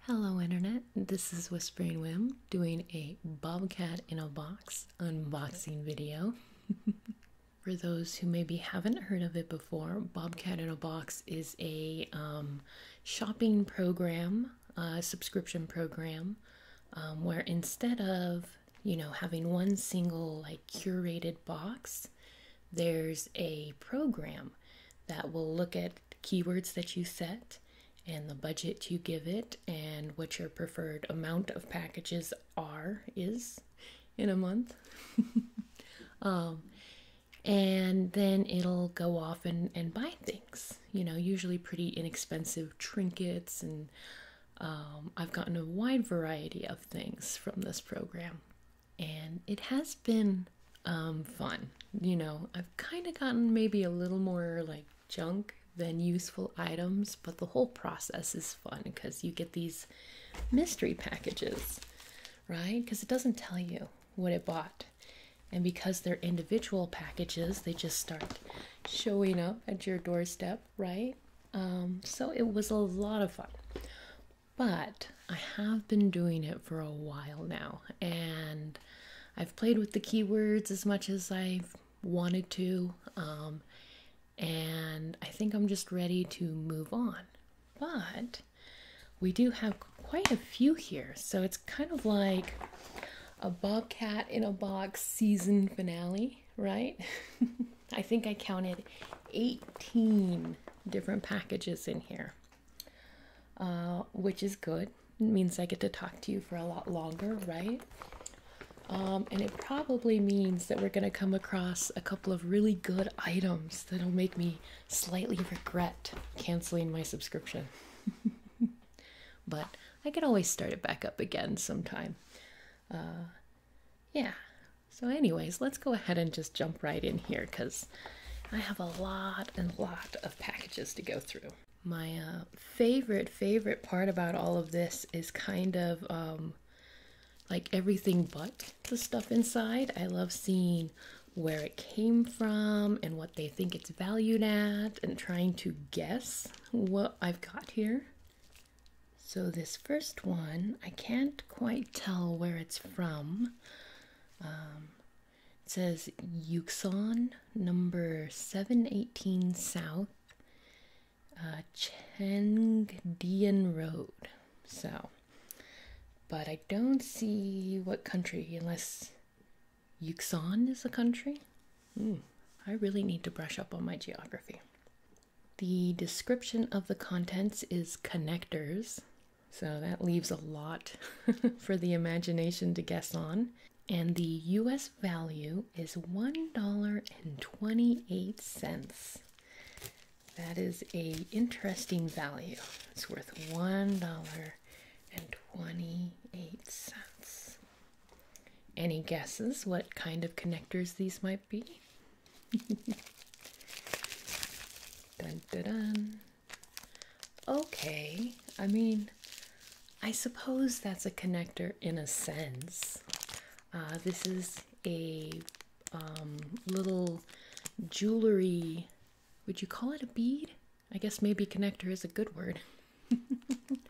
Hello, Internet. This is Whispering Whim doing a Bobcat in a Box unboxing video. For those who maybe haven't heard of it before, Bobcat in a Box is a um, shopping program, subscription program, um, where instead of you know having one single like curated box, there's a program that will look at keywords that you set and the budget you give it and what your preferred amount of packages are is in a month um, and then it'll go off and, and buy things you know usually pretty inexpensive trinkets and um, i've gotten a wide variety of things from this program and it has been um, fun. You know, I've kind of gotten maybe a little more like junk than useful items, but the whole process is fun because you get these mystery packages, right? Because it doesn't tell you what it bought. And because they're individual packages, they just start showing up at your doorstep, right? Um, so it was a lot of fun. But I have been doing it for a while now, and I've played with the keywords as much as i wanted to, um, and I think I'm just ready to move on. But we do have quite a few here, so it's kind of like a Bobcat in a Box season finale, right? I think I counted 18 different packages in here. Uh, which is good. It means I get to talk to you for a lot longer, right? Um, and it probably means that we're going to come across a couple of really good items that'll make me slightly regret canceling my subscription. but I can always start it back up again sometime. Uh, yeah. So, anyways, let's go ahead and just jump right in here because I have a lot and lot of packages to go through. My uh, favorite, favorite part about all of this is kind of um, like everything but the stuff inside. I love seeing where it came from and what they think it's valued at and trying to guess what I've got here. So this first one, I can't quite tell where it's from. Um, it says Yuxon number 718 South uh, Chengdian Road. So, but I don't see what country unless Yuxon is a country. Mm, I really need to brush up on my geography. The description of the contents is connectors, so that leaves a lot for the imagination to guess on. And the US value is $1.28. That is a interesting value. It's worth $1.28. Any guesses what kind of connectors these might be? Okay, I mean, I suppose that's a connector in a sense. Uh, this is a um, little jewelry. Would you call it a bead? I guess maybe connector is a good word. and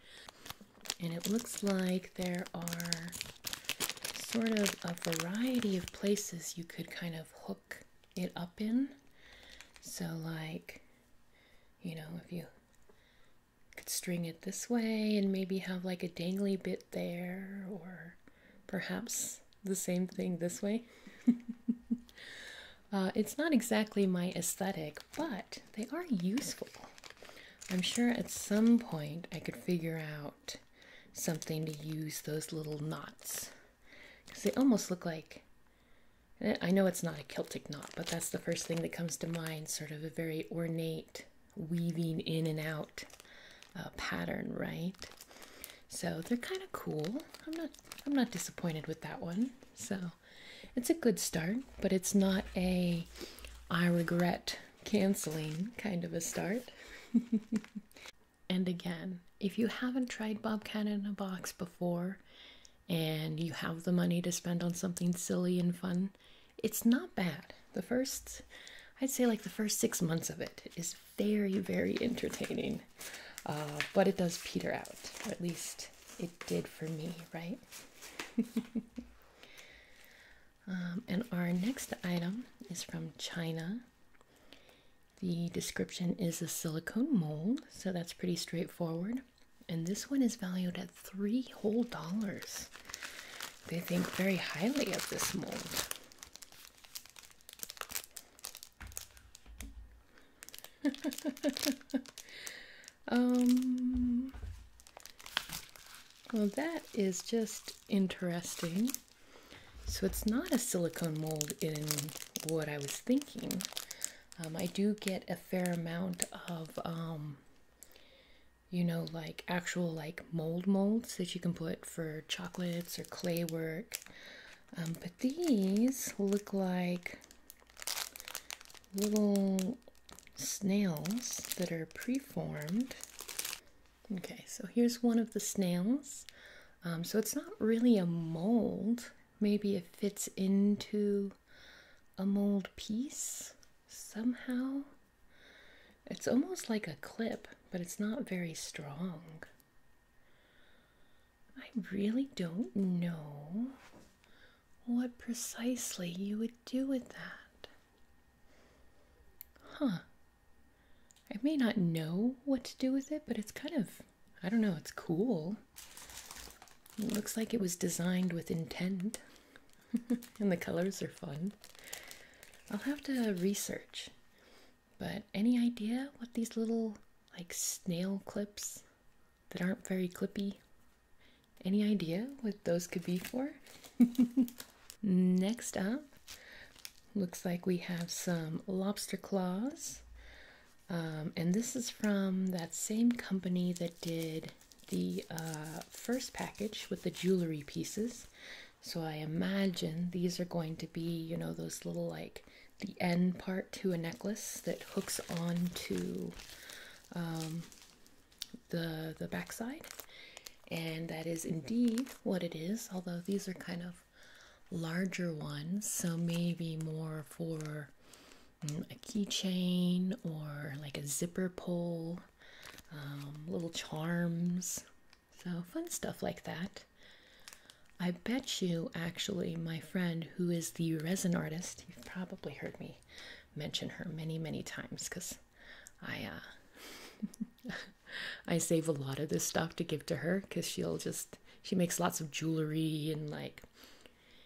it looks like there are sort of a variety of places you could kind of hook it up in. So, like, you know, if you could string it this way and maybe have like a dangly bit there, or perhaps the same thing this way. Uh, it's not exactly my aesthetic, but they are useful. I'm sure at some point I could figure out something to use those little knots because they almost look like eh, I know it's not a Celtic knot, but that's the first thing that comes to mind sort of a very ornate weaving in and out uh, pattern, right? So they're kind of cool. I'm not I'm not disappointed with that one. So it's a good start, but it's not a I regret canceling kind of a start. and again. If you haven't tried Bobcat in a Box before and you have the money to spend on something silly and fun, it's not bad. The first, I'd say like the first six months of it is very, very entertaining. Uh, but it does peter out, or at least it did for me, right? Um, and our next item is from China. The description is a silicone mold, so that's pretty straightforward. And this one is valued at three whole dollars. They think very highly of this mold. um, well, that is just interesting. So it's not a silicone mold in what I was thinking. Um, I do get a fair amount of, um, you know, like actual like mold molds that you can put for chocolates or clay work. Um, but these look like little snails that are preformed. Okay, so here's one of the snails. Um, so it's not really a mold. Maybe it fits into a mold piece somehow. It's almost like a clip, but it's not very strong. I really don't know what precisely you would do with that. Huh. I may not know what to do with it, but it's kind of I don't know, it's cool. looks like it was designed with intent, and the colors are fun. I'll have to research, but any idea what these little, like, snail clips that aren't very clippy? Any idea what those could be for? Next up, Looks like we have some lobster claws. Um, and this is from that same company that did the uh, first package with the jewelry pieces. So I imagine these are going to be, you know, those little like the end part to a necklace that hooks onto um, the the backside, and that is indeed what it is. Although these are kind of larger ones, so maybe more for mm, a keychain or like a zipper pull, um, little charms, so fun stuff like that. I bet you, actually, my friend who is the resin artist, you've probably heard me mention her many, many times because I, uh, I save a lot of this stuff to give to her because she'll just she makes lots of jewelry and like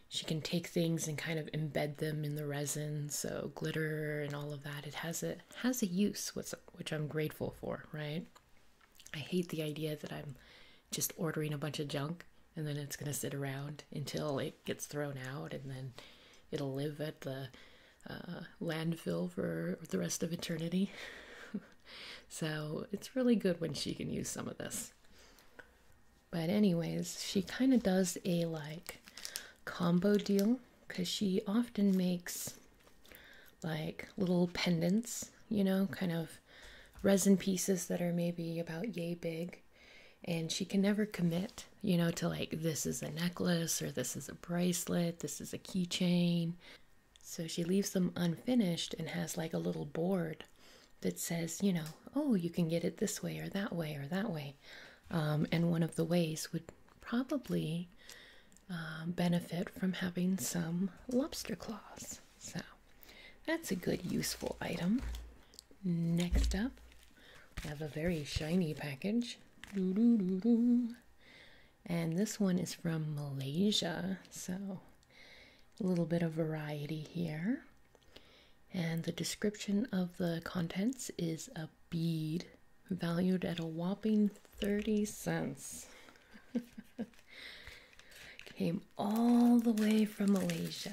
she can take things and kind of embed them in the resin so glitter and all of that it has a has a use which, i'm grateful for right i hate the idea that i'm just ordering a bunch of junk and then it's going to sit around until it gets thrown out and then it'll live at the uh, landfill for the rest of eternity So it's really good when she can use some of this. But, anyways, she kind of does a like combo deal because she often makes like little pendants, you know, kind of resin pieces that are maybe about yay big. And she can never commit, you know, to like this is a necklace or this is a bracelet, this is a keychain. So she leaves them unfinished and has like a little board that says, you know, oh, you can get it this way or that way or that way. Um, and one of the ways would probably uh, benefit from having some lobster claws. So that's a good, useful item. Next up, I have a very shiny package and this one is from Malaysia, so a little bit of variety here. And the description of the contents is a bead valued at a whopping 30 cents. Came all the way from Malaysia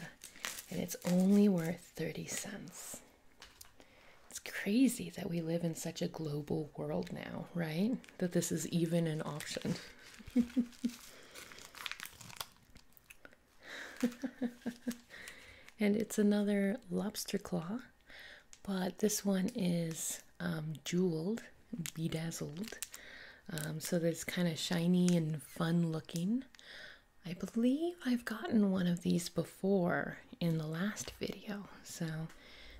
and it's only worth 30 cents. It's crazy that we live in such a global world now, right? That this is even an option. and it's another lobster claw, but this one is um, jeweled, bedazzled, um, so that it's kind of shiny and fun looking. I believe I've gotten one of these before in the last video, so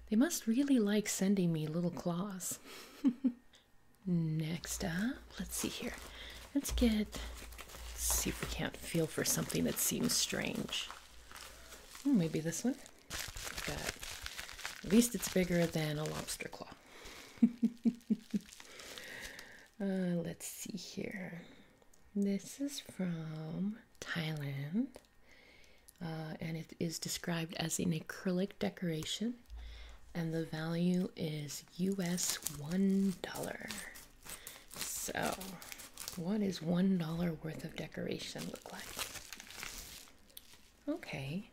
they must really like sending me little claws. Next up, let's see here. Let's get, see if we can't feel for something that seems strange. Hmm, maybe this one. Got, at least it's bigger than a lobster claw. Uh, let's see here. This is from Thailand. Uh, and it is described as an acrylic decoration, and the value is US $1. So, what is $1 worth of decoration look like? Okay.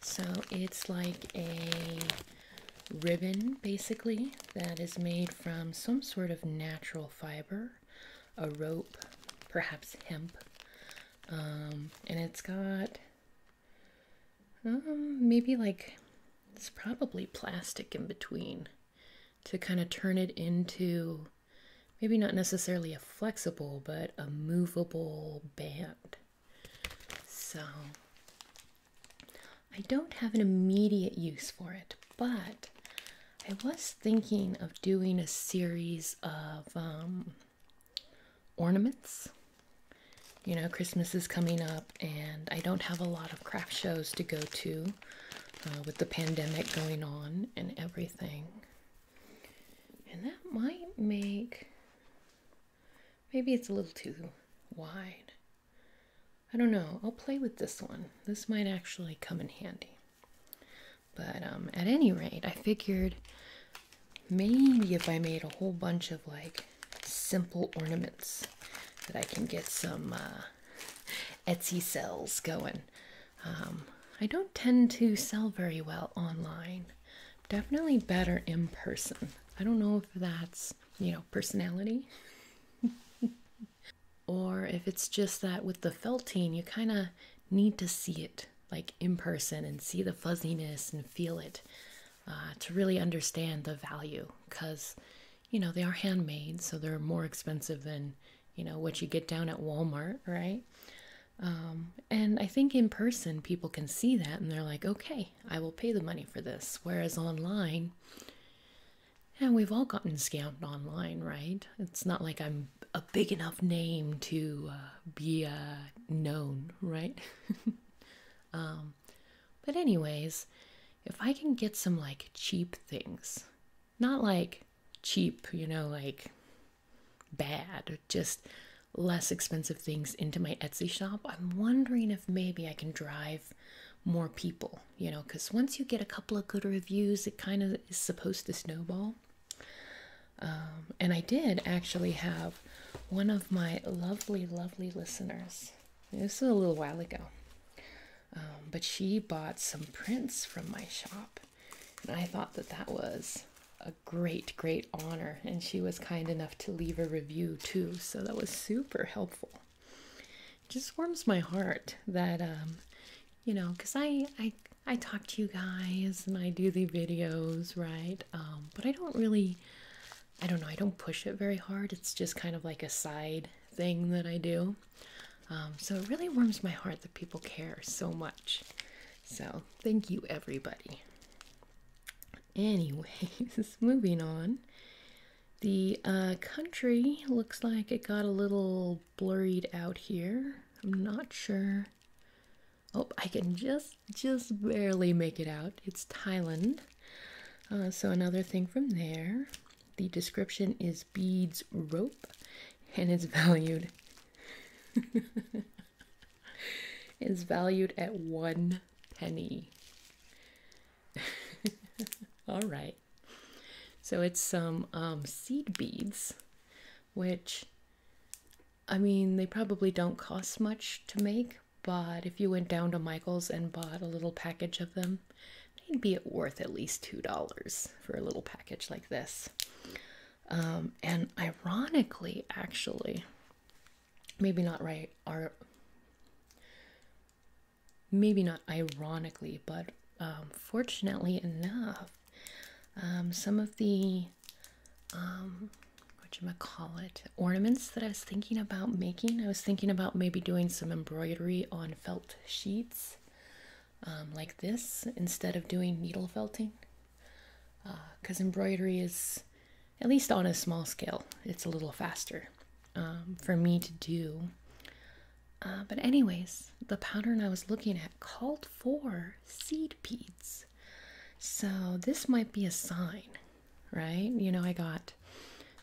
So, it's like a ribbon basically that is made from some sort of natural fiber a rope, perhaps hemp. Um, and it's got um, maybe like it's probably plastic in between to kind of turn it into maybe not necessarily a flexible but a movable band. So I don't have an immediate use for it, but I was thinking of doing a series of um, ornaments. You know, Christmas is coming up, and I don't have a lot of craft shows to go to uh, with the pandemic going on and everything. And that might make maybe it's a little too wide. I don't know. I'll play with this one. This might actually come in handy. But um, at any rate, I figured maybe if I made a whole bunch of like simple ornaments, that I can get some uh, Etsy sales going. Um, I don't tend to sell very well online. Definitely better in person. I don't know if that's, you know, personality. or if it's just that with the felting you kind of need to see it like in person and see the fuzziness and feel it uh, to really understand the value because you know they are handmade so they're more expensive than you know what you get down at walmart right um, and i think in person people can see that and they're like okay i will pay the money for this whereas online and we've all gotten scammed online right it's not like i'm a big enough name to uh, be uh, known, right? Um, but anyways, if I can get some like cheap things, not like cheap, you know, like bad, just less expensive things into my Etsy shop, I'm wondering if maybe I can drive more people, you know, because once you get a couple of good reviews, it kind of is supposed to snowball. Um, and I did actually have one of my lovely, lovely listeners. This is a little while ago. Um, but she bought some prints from my shop. And I thought that that was a great, great honor. And she was kind enough to leave a review too. So that was super helpful. It just warms my heart that um, you know, because I, I I talk to you guys and I do the videos, right? Um, but I don't really, I don't know, I don't push it very hard. It's just kind of like a side thing that I do. Um, so it really warms my heart that people care so much. So thank you, everybody. Anyways, moving on. The uh, country looks like it got a little blurred out here. I'm not sure Oh, I can just just barely make it out. It's Thailand. Uh, so another thing from there. The description is beads rope, and it's valued. is valued at one penny. All right. So it's some um, seed beads which I mean, they probably don't cost much to make, but if you went down to Michael's and bought a little package of them, they'd be worth at least $2 for a little package like this. Um, and ironically, actually, maybe not right, are maybe not ironically, but um, fortunately enough, um, some of the um, whatchamacallit ornaments that I was thinking about making. I was thinking about maybe doing some embroidery on felt sheets um, like this instead of doing needle felting because uh, embroidery is at least on a small scale it's a little faster um, for me to do uh, but anyways the pattern i was looking at called for seed beads. So this might be a sign, right? You know, I got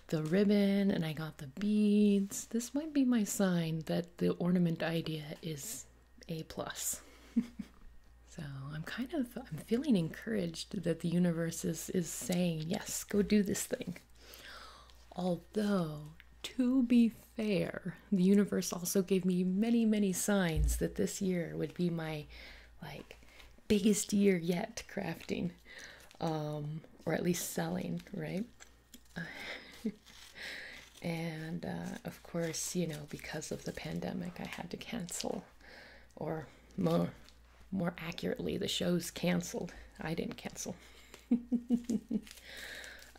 the ribbon and I got the beads. This might be my sign that the ornament idea is a plus. so I'm kind of I'm feeling encouraged that the universe is is saying, yes, go do this thing. Although to be fair, the universe also gave me many, many signs that this year would be my like biggest year yet crafting, um, or at least selling, right? and uh, of course, you know, because of the pandemic, I had to cancel, or more, more accurately, the show's canceled. I didn't cancel.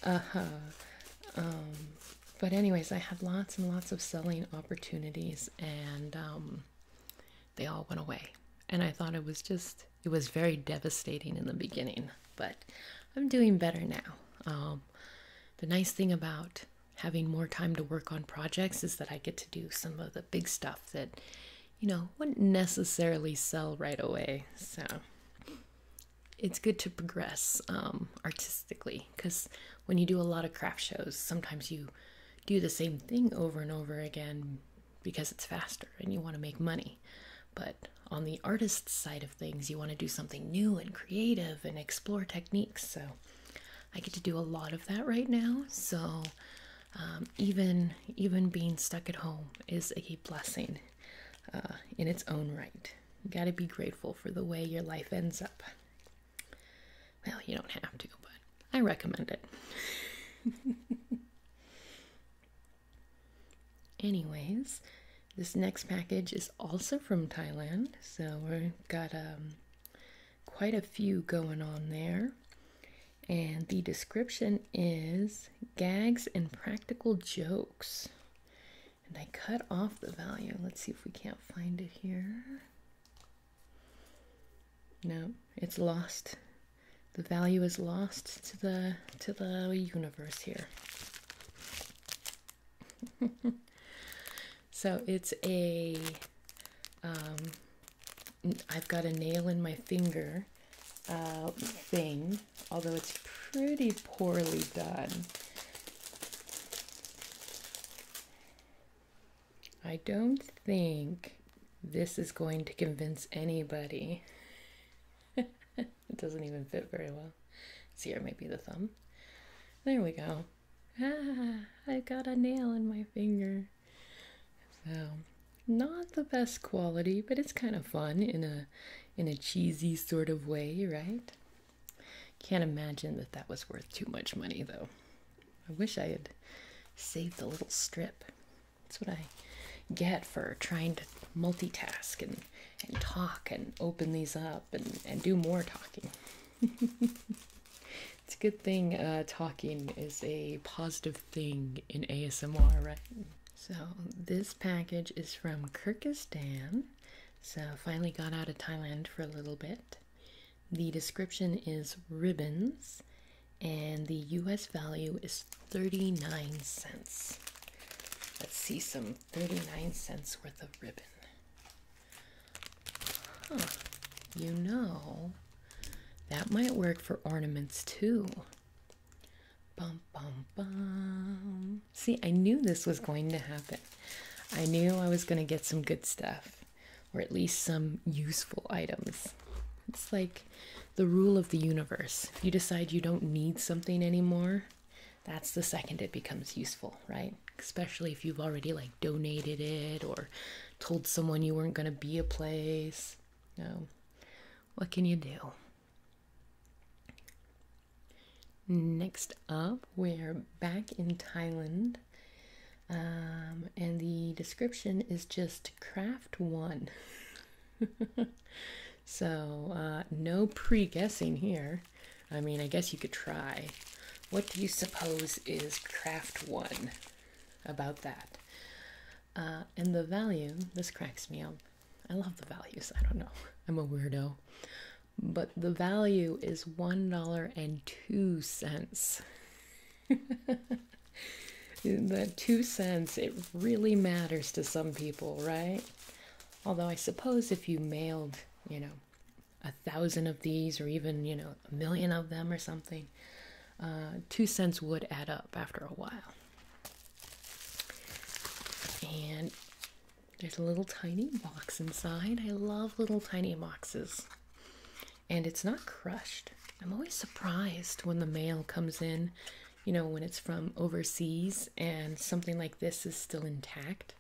uh huh. Um, but anyways, I had lots and lots of selling opportunities, and um, they all went away. And I thought it was just it was very devastating in the beginning, but I'm doing better now. Um, the nice thing about having more time to work on projects is that I get to do some of the big stuff that you know wouldn't necessarily sell right away. So it's good to progress um, artistically because when you do a lot of craft shows, sometimes you do the same thing over and over again because it's faster and you want to make money. But on the artist's side of things, you want to do something new and creative and explore techniques. So I get to do a lot of that right now. So um, even even being stuck at home is a blessing uh, in its own right. You gotta be grateful for the way your life ends up. Well, you don't have to, but I recommend it. Anyways, this next package is also from Thailand, so we've got um, quite a few going on there. And the description is gags and practical jokes. And I cut off the value. Let's see if we can't find it here. No, it's lost. The value is lost to the to the universe here. so it's a um, I've got a nail in my finger uh, thing although it's pretty poorly done. I don't think this is going to convince anybody. it doesn't even fit very well. See, here, maybe the thumb. There we go. Ah, I got a nail in my finger. So, not the best quality, but it's kind of fun in a in a cheesy sort of way, right? Can't imagine that that was worth too much money, though. I wish I had saved the little strip. That's what I get for trying to multitask and, and talk and open these up and, and do more talking. it's a good thing uh, talking is a positive thing in ASMR, right? So, this package is from Kyrgyzstan so, finally got out of Thailand for a little bit. The description is ribbons, and the US value is 39 cents. Let's see some 39 cents worth of ribbon. you know, that might work for ornaments too. Bum, bum, bum. See, I knew this was going to happen. I knew I was going to get some good stuff, or at least some useful items. It's like the rule of the universe. If you decide you don't need something anymore, that's the second it becomes useful, right? Especially if you've already like donated it or told someone you weren't going to be a place. No. What can you do? Next up, we're back in Thailand, um, and the description is just craft one. so, uh, no pre guessing here. I mean, I guess you could try. What do you suppose is craft one about that? Uh, and the value, this cracks me up, I love the values. I don't know. I'm a weirdo. But the value is $1.02. the two cents, it really matters to some people, right? Although I suppose if you mailed, you know, a thousand of these or even, you know, a million of them or something, uh, two cents would add up after a while. And there's a little tiny box inside. I love little tiny boxes. And it's not crushed. I'm always surprised when the mail comes in, you know, when it's from overseas and something like this is still intact.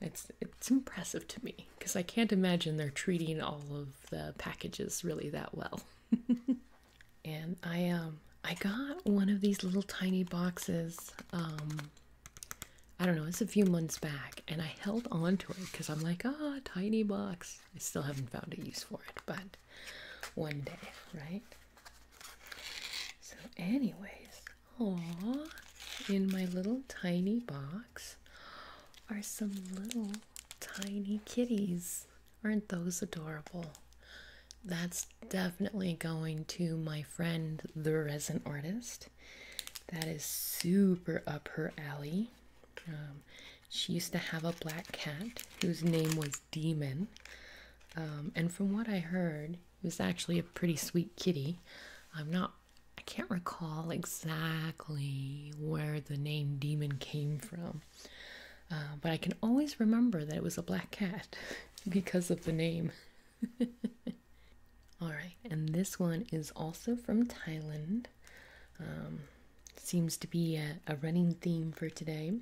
It's, it's impressive to me because I can't imagine they're treating all of the packages really that well. and I am. Um, I got one of these little tiny boxes. Um, I don't know, it's a few months back, and I held on to it because I'm like, ah, oh, tiny box. I still haven't found a use for it, but one day, right? So, anyways, aw, in my little tiny box are some little tiny kitties. Aren't those adorable? That's definitely going to my friend, the resin artist. That is super up her alley. Um, she used to have a black cat whose name was Demon. Um, and from what I heard, it was actually a pretty sweet kitty. I'm not, I can't recall exactly where the name Demon came from. Uh, but I can always remember that it was a black cat because of the name. Alright, and this one is also from Thailand. Um, seems to be a running theme for today.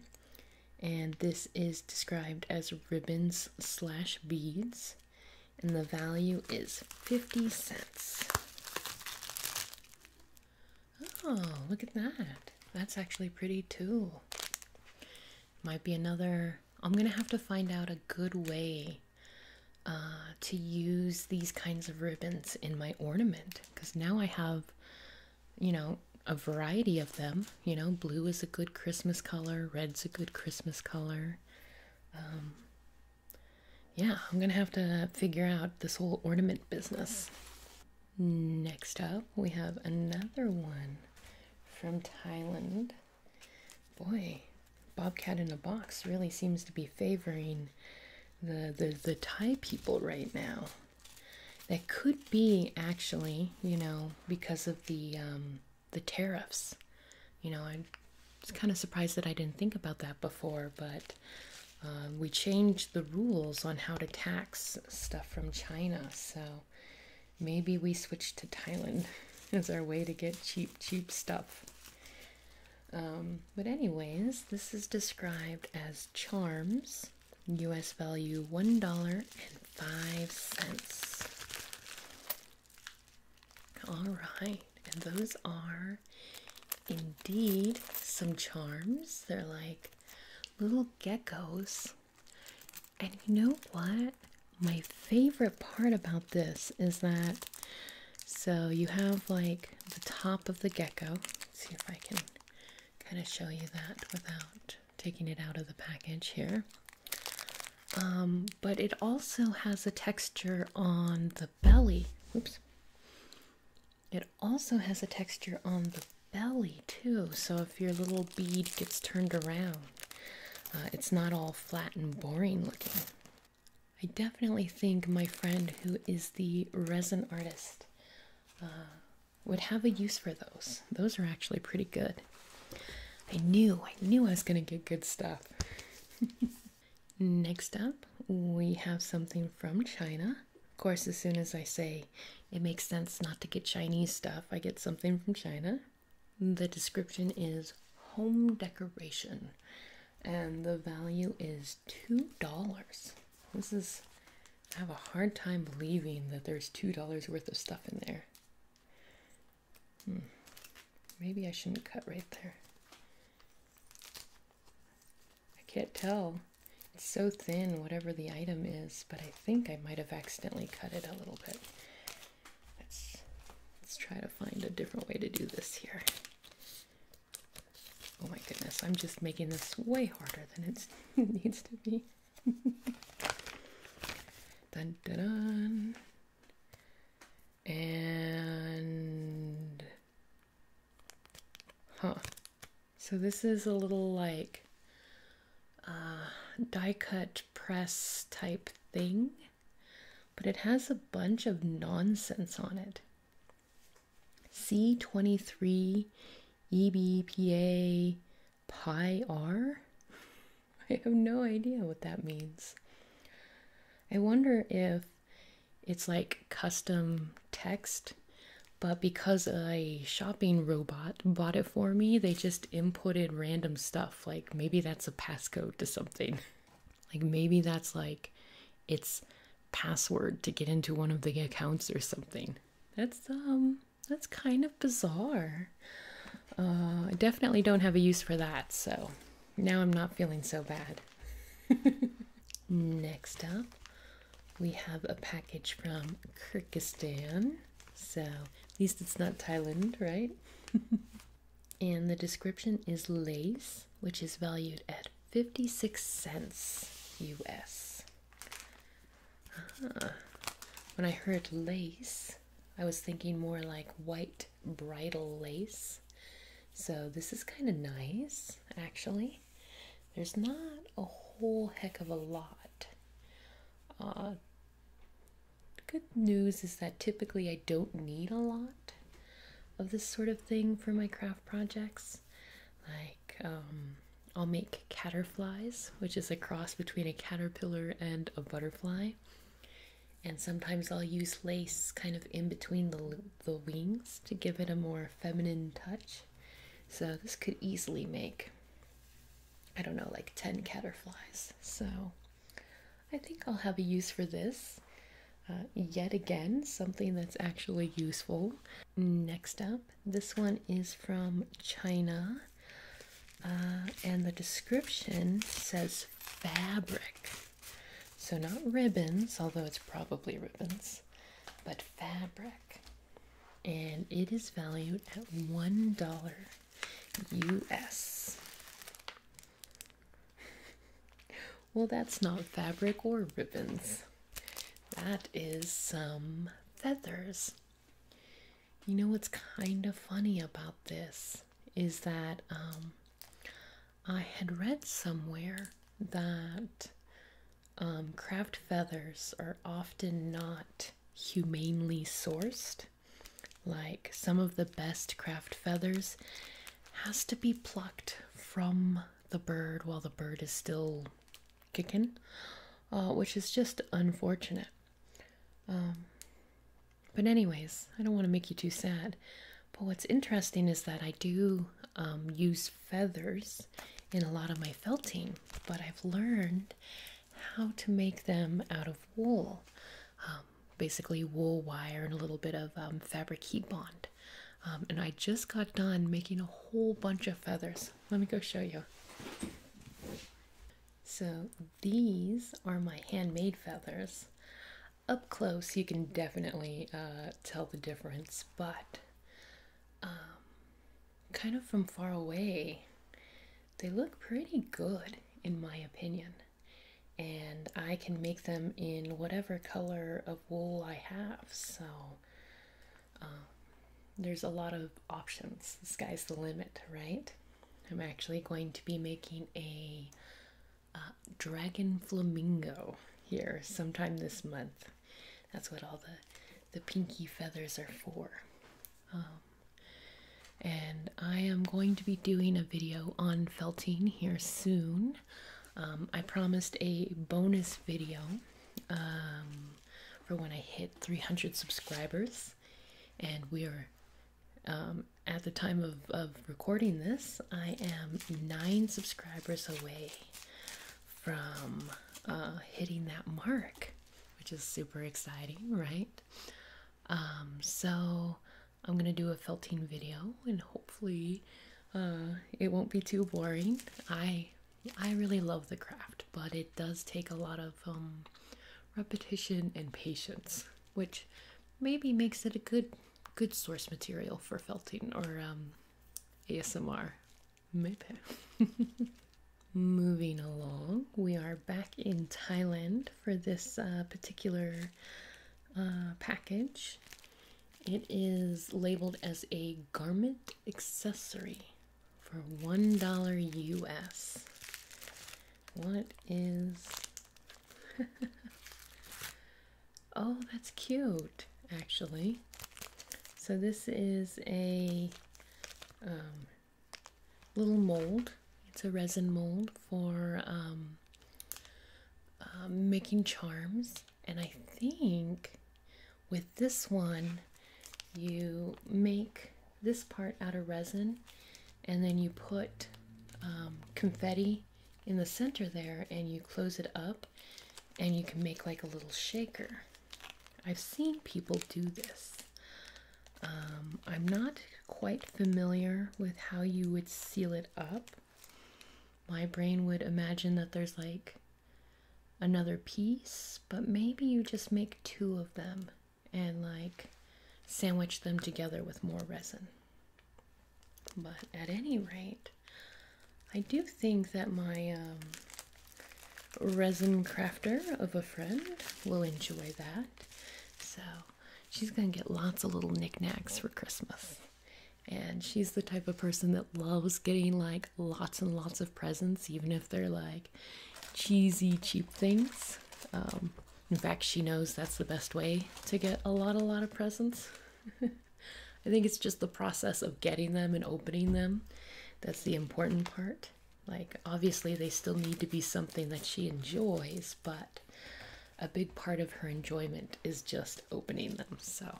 And this is described as ribbons slash beads. And the value is 50 cents. Oh, look at that. That's actually pretty too might be another i'm gonna have to find out a good way uh, to use these kinds of ribbons in my ornament because now i have you know a variety of them you know blue is a good christmas color red's a good christmas color um, yeah i'm gonna have to figure out this whole ornament business next up we have another one from Thailand. Boy, Bobcat in a Box really seems to be favoring the, the, the Thai people right now. That could be actually, you know, because of the um, the tariffs. You know, I'm kind of surprised that I didn't think about that before, but uh, we changed the rules on how to tax stuff from China. So maybe we switch to Thailand as our way to get cheap, cheap stuff. Um, but, anyways, this is described as charms, US value $1.05. All right, and those are indeed some charms. They're like little geckos and you know what? My favorite part about this is that so you have like the top of the gecko. Let's see if I can kind of show you that without taking it out of the package here. Um, but it also has a texture on the belly. Oops. It also has a texture on the belly too so if your little bead gets turned around uh, it's not all flat and boring looking i definitely think my friend who is the resin artist uh, would have a use for those those are actually pretty good i knew i knew i was going to get good stuff next up we have something from china of course as soon as i say it makes sense not to get Chinese stuff. I get something from China. The description is home decoration, and the value is $2. This is, I have a hard time believing that there's $2 worth of stuff in there. Hmm. Maybe I shouldn't cut right there. I can't tell. It's so thin, whatever the item is, but I I think I might have accidentally cut it a little bit. Let's, let's try to find a different way to do this here. Oh my goodness, I'm just making this way harder than it needs to be. Done, done, And. Huh. So this is a little like uh, die cut press type thing, but it has a bunch of nonsense on it. C23 EBPA pi r? I have no idea what that means. I wonder if it's like custom text, but because a shopping robot bought it for me, they just inputted random stuff. Like maybe that's a passcode to something. Like maybe that's like its password to get into one of the accounts or something. That's um that's kind of bizarre. Uh, I definitely don't have a use for that, so now I'm not feeling so bad. Next up, we have a package from Kyrgyzstan. So, at least it's not Thailand, right? and the description is lace, which is valued at 56 cents US. when I heard lace, I was thinking more like white bridal lace. So, this is kind of nice, actually. There's not a whole heck of a lot uh, good news is that typically I don't need a lot of this sort of thing for my craft projects. Like, um, I'll make caterflies, which is a cross between a caterpillar and a butterfly. And sometimes I'll use lace kind of in between the, the wings to give it a more feminine touch. So this could easily make I don't know, like 10 caterflies. So I think I'll have a use for this. Uh, yet again, something that's actually useful. Next up, this one is from China. Uh, and the description says fabric. So, not ribbons, although it's probably ribbons, but fabric and it is valued at one dollar US. Well, that's not fabric or ribbons. That is some feathers. You know what's kind of funny about this is that um, I had read somewhere that um, craft feathers are often not humanely sourced like some of the best craft feathers has to be plucked from the bird while the bird is still kicking uh, which is just unfortunate um, but anyways i don't want to make you too sad but what's interesting is that i do um, use feathers in a lot of my felting but i've learned how to make them out of wool. Um, basically, wool wire and a little bit of um, fabric heat bond. Um, and I just got done making a whole bunch of feathers. Let me go show you. So, these are my handmade feathers. Up close, you can definitely uh, tell the difference, but kind of from far away, they look pretty good in my opinion. And I can make them in whatever color of wool I have. So um, there's a lot of options. The sky's the limit, right? I'm actually going to be making a uh, dragon flamingo here sometime this month. That's what all the, the pinky feathers are for. Um, and I am going to be doing a video on felting here soon. Um, I promised a bonus video um, for when I hit 300 subscribers, and we are at the time of, of recording this, I am nine subscribers away from uh, hitting that mark which is super exciting, right? Um, so I'm gonna do a felting video, and hopefully, uh, it won't be too boring. I I really love the craft, but it does take a lot of um, repetition and patience, which maybe makes it a good good source material for felting or um, ASMR. Maybe. Moving along, we are back in Thailand for this uh, particular uh, package. It is labeled as a garment accessory for $1 US. What is. oh, that's cute, actually. So, this is a um, little mold. It's a resin mold for um, um, making charms, and I think with this one, you make this part out of resin, and then you put um, confetti in the center there, and you close it up, and you can make like a little shaker. I've seen people do this. Um, I'm not quite familiar with how you would seal it up. My brain would imagine that there's like another piece, but maybe you just make two of them and like sandwich them together with more resin. But at any rate, I do think that my um, resin crafter of a friend will enjoy that. So she's going to get lots of little knickknacks for Christmas. And she's the type of person that loves getting like lots and lots of presents, even if they're like cheesy, cheap things. Um, in fact, she knows that's the best way to get a lot, a lot of presents. I think it's just the process of getting them and opening them that's the important part. Like, obviously, they still need to be something that she enjoys, but a big part of her enjoyment is just opening them. So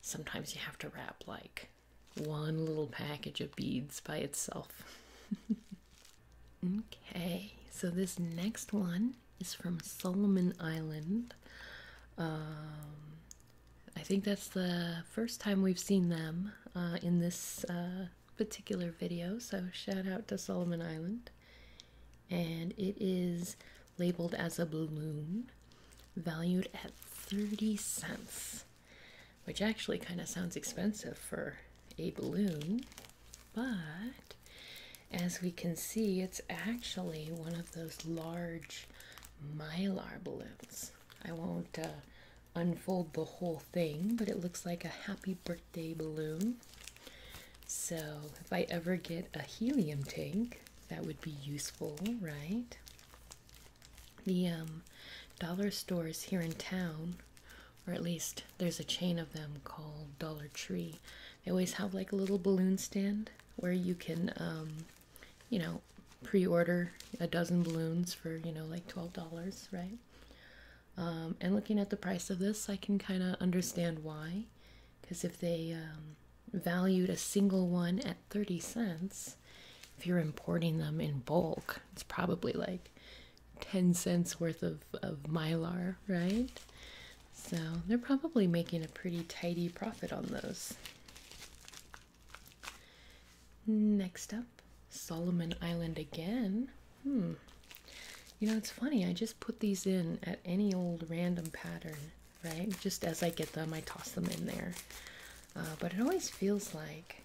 sometimes you have to wrap like one little package of beads by itself. okay, so this next one is from Solomon Island. Um, I think that's the first time we've seen them uh, in this uh, particular video, so shout out to Solomon Island. And it is labeled as a balloon, valued at 30 cents, which actually kind of sounds expensive for a balloon, but as we can see, it's actually one of those large mylar balloons. I won't uh, unfold the whole thing, but it looks like a happy birthday balloon. So, if I ever get a helium tank, that would be useful, right? The um, dollar stores here in town, or at least there's a chain of them called Dollar Tree, they always have like a little balloon stand where you can, um, you know, pre-order a dozen balloons for you know like $12 right um, and looking at the price of this i can kind of understand why because if they um, valued a single one at 30 cents if you're importing them in bulk it's probably like 10 cents worth of, of mylar right so they're probably making a pretty tidy profit on those Next up, Solomon Island again. Hmm. You know, it's funny, I just put these in at any old random pattern, right? Just as I get them, I toss them in there. Uh, but it always feels like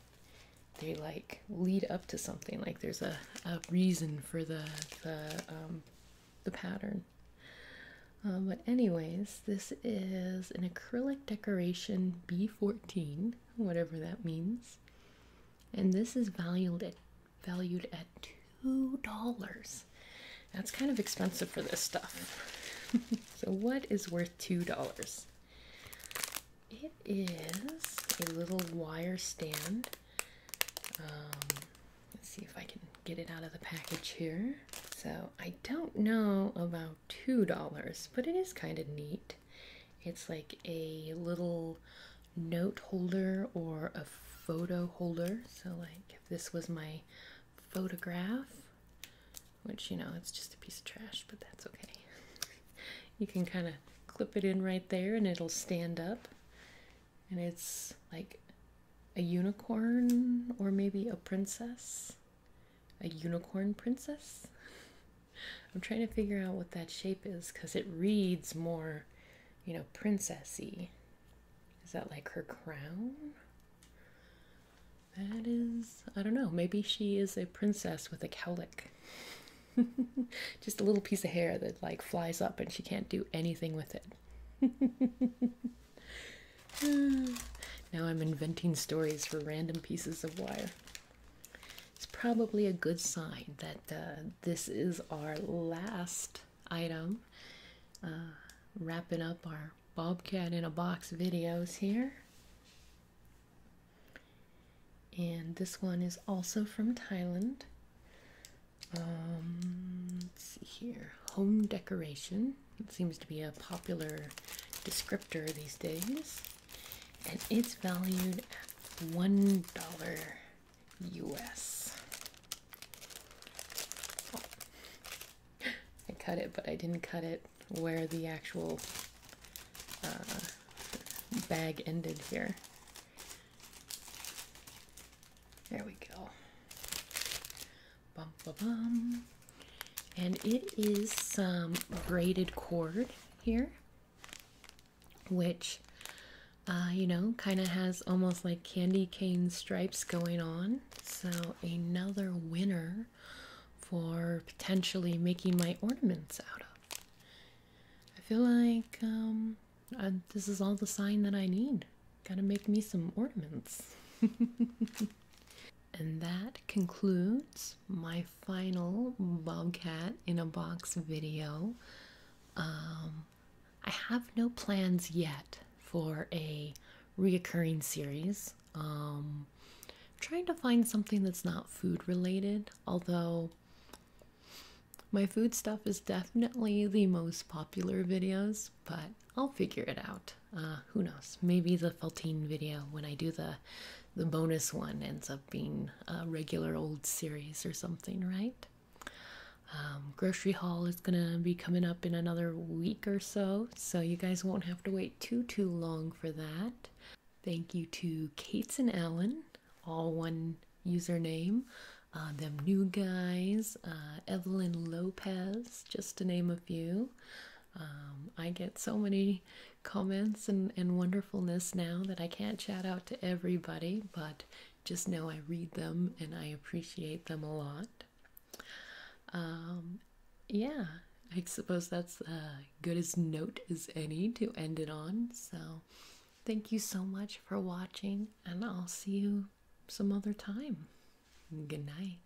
they like lead up to something, like there's a, a reason for the, the, um, pattern. Uh, but anyways, this is an acrylic decoration B14 whatever that means. And this is valued at valued at two dollars. That's kind of expensive for this stuff. so what is worth two dollars? It is a little wire stand. Um, let's see if I can get it out of the package here. So I don't know about $2, but it is kind of neat. It's like a little note holder or a photo holder. So, like, if this was my photograph, which, you know, it's just a piece of trash, but that's okay. you can kind of clip it in right there and it'll stand up. And it's like a unicorn or maybe a princess a unicorn princess. I'm trying to figure out what that shape is because it reads more, you know, princessy. Is that like her crown? That is, I don't know, maybe she is a princess with a cowlick. Just a little piece of hair that like flies up and she can't do anything with it. now I'm inventing stories for random pieces of wire. It's probably a good sign that uh, this is our last item. Uh, wrapping up our Bobcat in a Box videos here. And this one is also from Thailand. Um, let's see here. Home decoration. It seems to be a popular descriptor these days and it's valued at $1 US. Oh. I cut it, but I didn't cut it where the actual uh, bag ended here. There we go. Bum, bum, bum and it is some braided cord here which uh, you know kind of has almost like candy cane stripes going on so another winner for potentially making my ornaments out of i feel like um, this is all the sign that i need gotta make me some ornaments And that concludes my final Bobcat in a Box video. Um, I have no plans yet for a reoccurring series. Um, trying to find something that's not food related, although my food stuff is definitely the most popular videos, but I'll figure it out. Uh, who knows? Maybe the Feltine video when I do the the bonus one ends up being a regular old series or something, right? Um, grocery haul is gonna be coming up in another week or so, so you guys won't have to wait too too long for that. Thank you to Kates and Ellen, all one username. Uh, them new guys, uh, Evelyn Lopez, just to name a few. Um, I get so many comments and, and wonderfulness now that I can't chat out to everybody, but just know I read them and I appreciate them a lot. Um, yeah, I suppose that's uh, good as note as any to end it on. So thank you so much for watching, and I'll see you some other time. Good night.